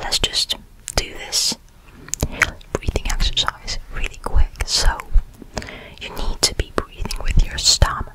Let's just do this breathing exercise really quick. So, you need to be breathing with your stomach.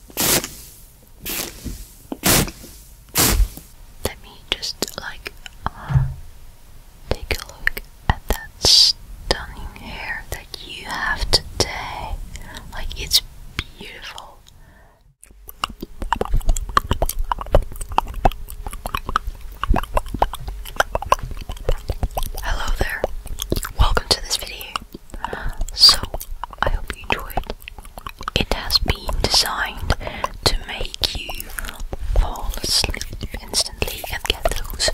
Let me just like uh, take a look at that stunning hair that you have today. Like it's beautiful. Hello there. Welcome to this video. So I hope you enjoyed. It has been designed to make you fall asleep instantly and get those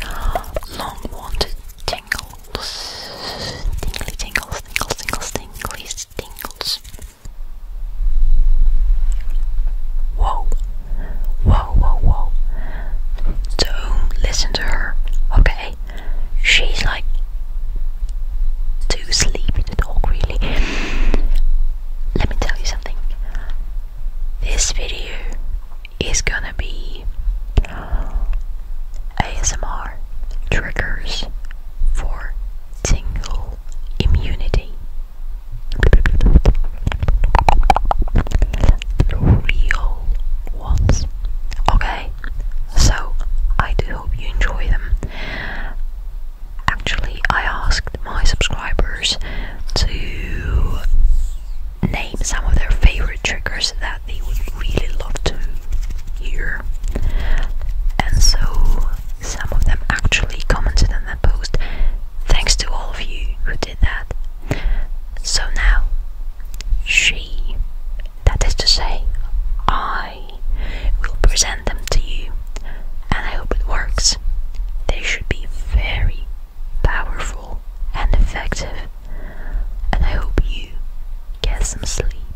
long wanted tingles. Tingly tingles, tingles, tingles, tingles, tingles. Whoa. Whoa, whoa, whoa. Don't listen to her, okay? she's like too sleepy to talk really. Let me tell you something. This video is gonna be ASMR triggers for tingle immunity. Real ones. Okay, so I do hope you enjoy them. Actually, I asked my subscribers to name some of their favorite triggers that they would really love to hear. And so some of them actually commented on that post. Thanks to all of you who did that. So now, she that is to say, I will present them to you, and I hope it works. They should be very powerful and effective, and I hope you get some sleep.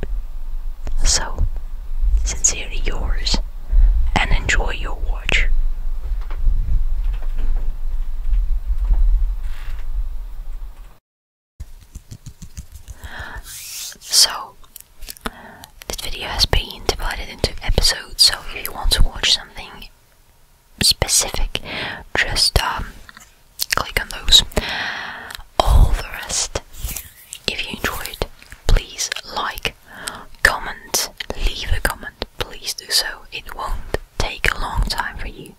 So, sincerely yours, and enjoy your watch. So, this video has been divided into episodes, so if you want to watch something specific, just um, click on those. All the rest, if you enjoyed, please like, comment, leave a comment, please do so. It won't take a long time for you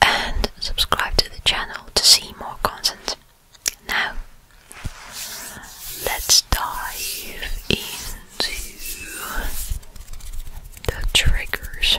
and subscribe to the channel to see more content. Now, let's dive into the triggers.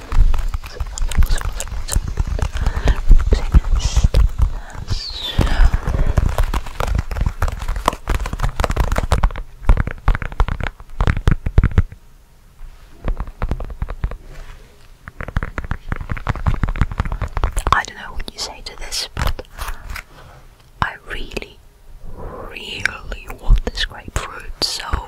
I don't know what you say to this, but I really, really want this grapefruit, so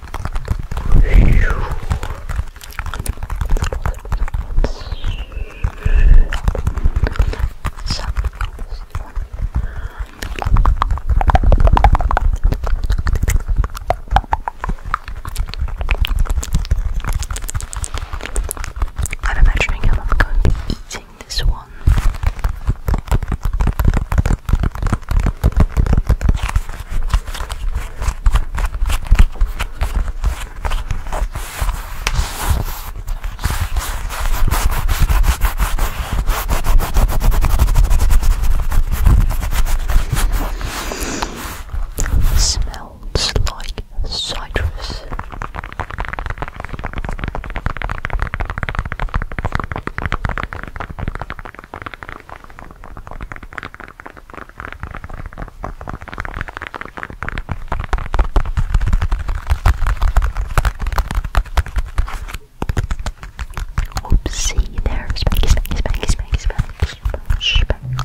I'm imagining I'm going to be eating this one. It smells like citrus. Oopsie, there's Spanky, Spanky, Spanky, Spanky, Spanky, Spanky, Spanky.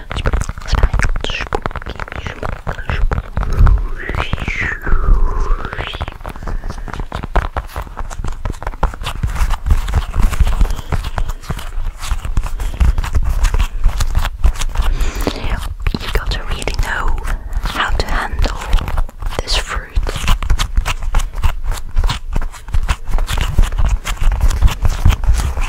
You gotta really know how to handle this fruit.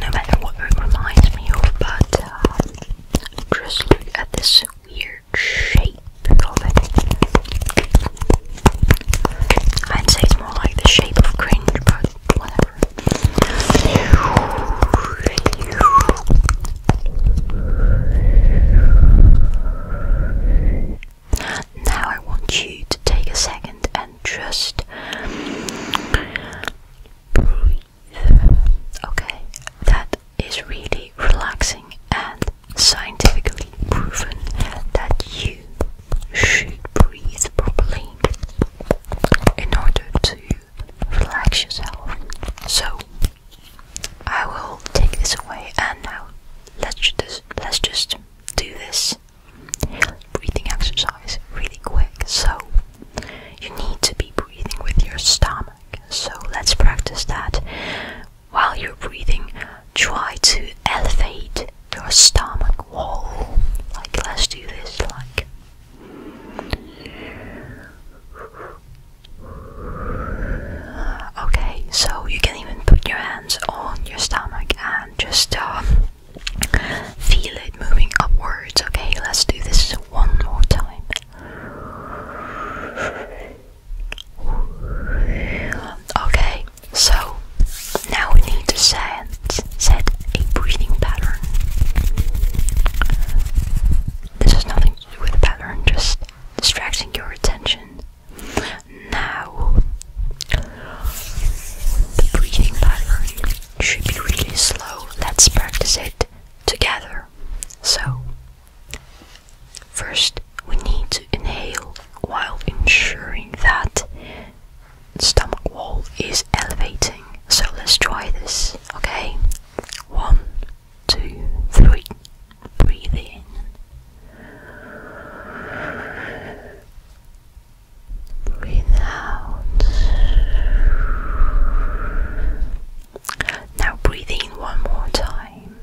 No matter what it reminds me of, but um, just look at this weird shape I'd say it's more like the shape of cringe, but whatever. Now I want you to take a second and just breathe. Okay, that is really relaxing and scientifically proven that you should breathe properly in order to relax yourself. So I will take this away and now let's just let's just do this breathing exercise really quick. So, you need to be breathing with your stomach. So, let's practice that. While you're breathing, try to elevate your stomach wall. Like, let's do this. Like, okay, so you can even put your hands on your stomach and just um, Feel it moving upwards. Okay, let's do this one more time. Okay, so now we need to set, set a breathing pattern. This has nothing to do with the pattern, just distracting your attention now, the breathing pattern should be really slow. Let's practice it together. So, first we need to inhale while ensuring that the stomach wall is elevating. So, let's try this, okay? One, two, three. Breathe in. Breathe out. Now breathe in one more time.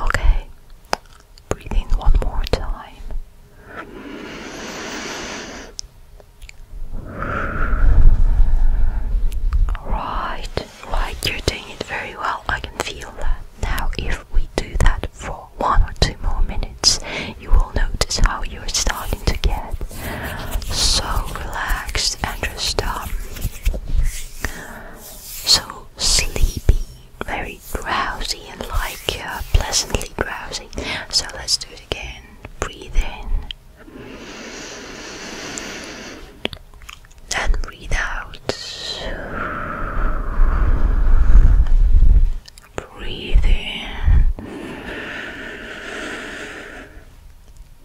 Okay. Breathe in one more time. Right reason you're doing it very well. I can feel that. Now, if we do that for one or two more minutes, you will notice how you're starting to get so relaxed and just um, so sleepy, very drowsy, and like uh, pleasantly drowsy. So let's do it again. Breathe in and breathe out. Breathe in.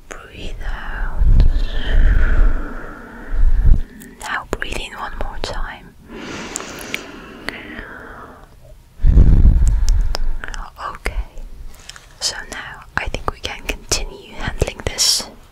Breathe out. Now breathe in one more time. Okay, so now I think we can continue handling this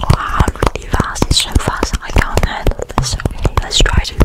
Wow, really fast. It's so fast. I can't handle this. Okay, let's try to.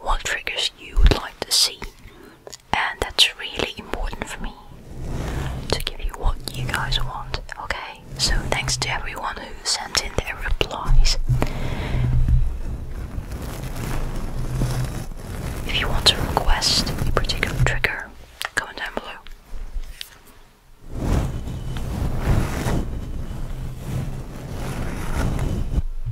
what triggers you would like to see, and that's really important for me to give you what you guys want. Okay, so thanks to everyone who sent in their replies. If you want to request a particular trigger, comment down below.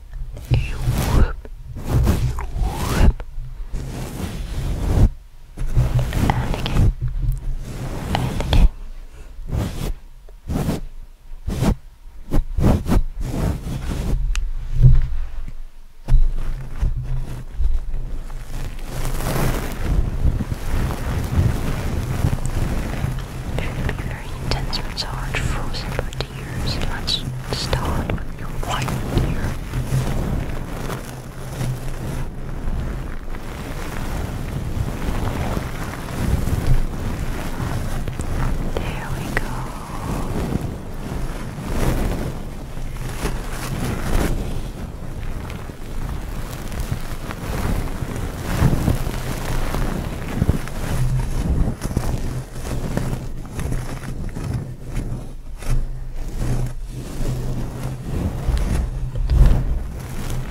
you whoop, you whoop, again, again. very intense, but it's hard Let's start with your right ear. There we go.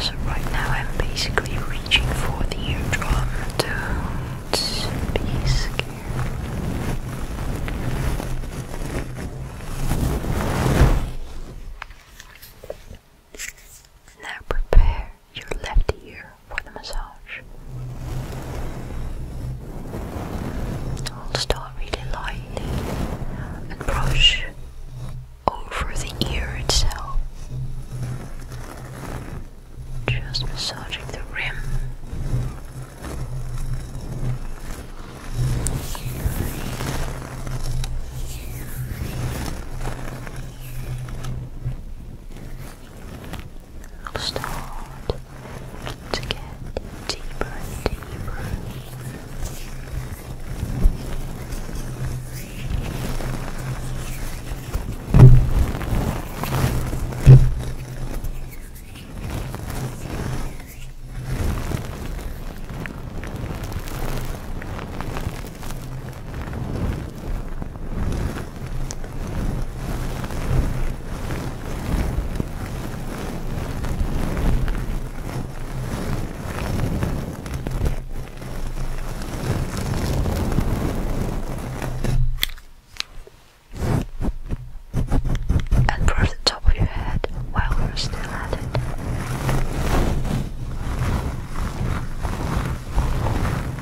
So right now I'm basically reaching for the eardrum. do be scared. Now prepare your left ear for the massage. I'll start really lightly and brush over the ear itself. Just massaging the rim i will start to get deeper and deeper. And brush the top of your head while we're still at it.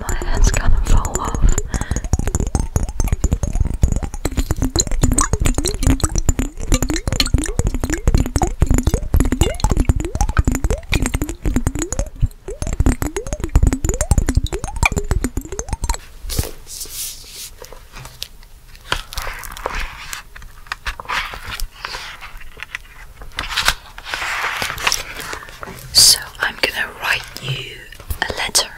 my hands gonna fall off. So, I'm gonna write you a letter,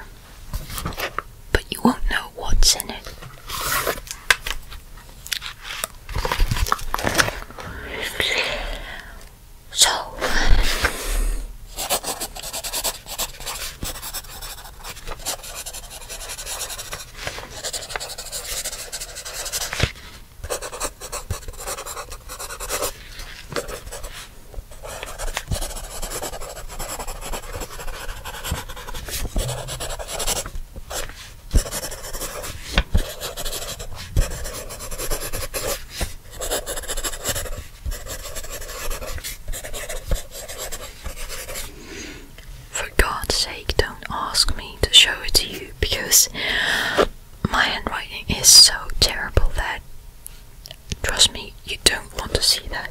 but you won't know what's in it. So, for God's sake, don't ask me to show it to you because my handwriting is so terrible that trust me, you don't want to see that.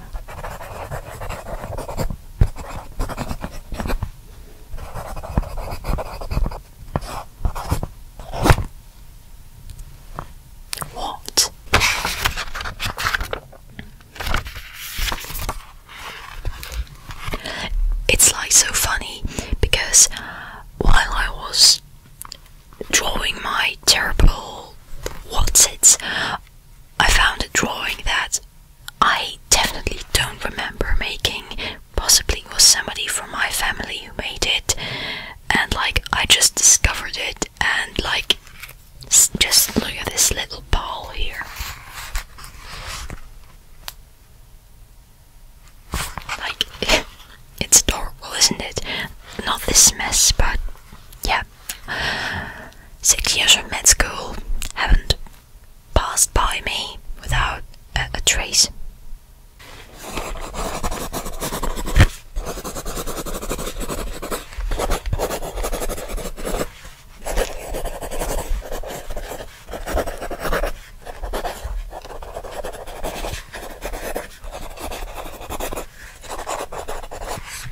What? It's like so funny because while I was drawing my terrible what's it I found a drawing that I definitely don't remember making. Possibly was somebody from my family who made it, and like I just discovered it, and like just look at this little ball here. Like, it's adorable, isn't it? Not this mess, but yeah, Six years of med school haven't passed by me without a, trace.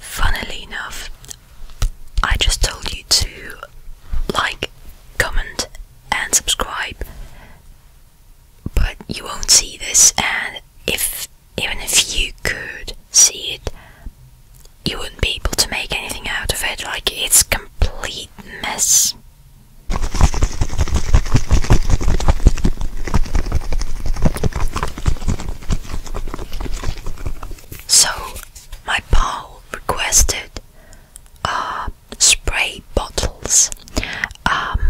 Funnily enough, I just told you to like, comment, and subscribe but you won't see this and if even if you could see it you wouldn't be able to make anything out of it like it's complete mess so my pal requested uh spray bottles. Um,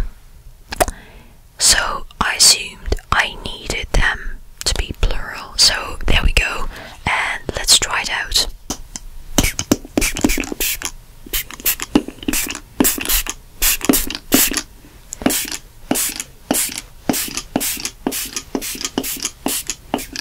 so I assumed I needed them to be plural. So there we go, and let's try it out.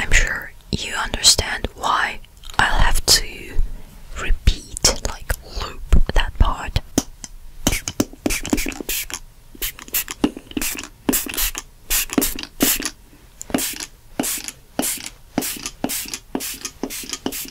I'm sure you understand why I'll have to repeat, like loop that part.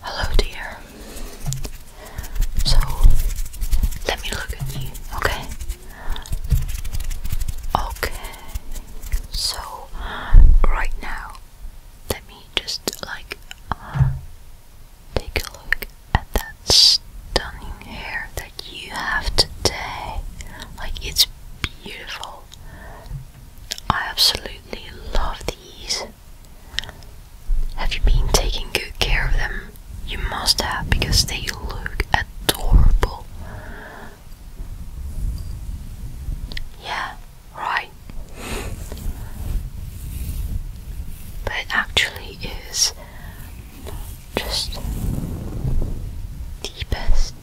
Hello, dear. So let me look at you, okay? Okay, so right now, let me just like Take a look at that stunning hair that you have today. Like, it's beautiful. I absolutely love these. Have you been taking good care of them? You must have because they look adorable. Yeah, right but it actually is just the best.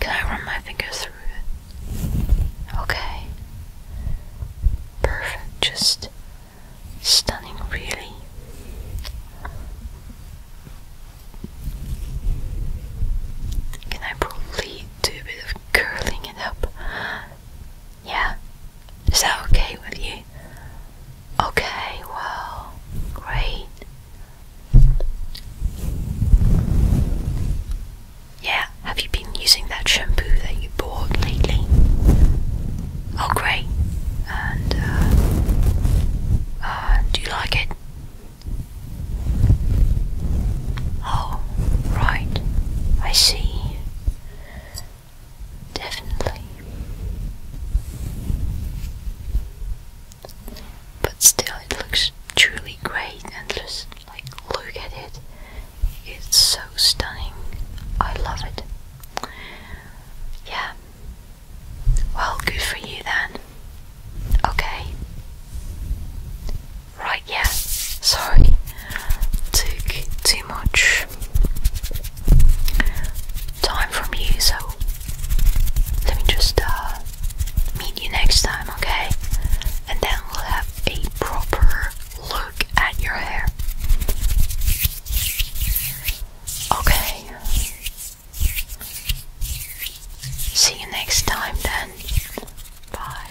Can I run my finger through it? Okay. Perfect, just stunning, really. Can I probably do a bit of curling it up? Yeah, is that okay with you? Okay, well, great. Yeah, have you been using that shampoo that you bought lately? Oh, great. And, uh, uh do you like it? Oh, right. I see. Definitely. But still, it looks truly great, and just like look at it, it's so stunning. I love it. Yeah. Well, good for you then. Okay. Right, yeah. Sorry. Took too much time from you, so let me just uh, meet you next time, okay? And then we'll have a proper look at your hair. Okay. See you next time then. Bye.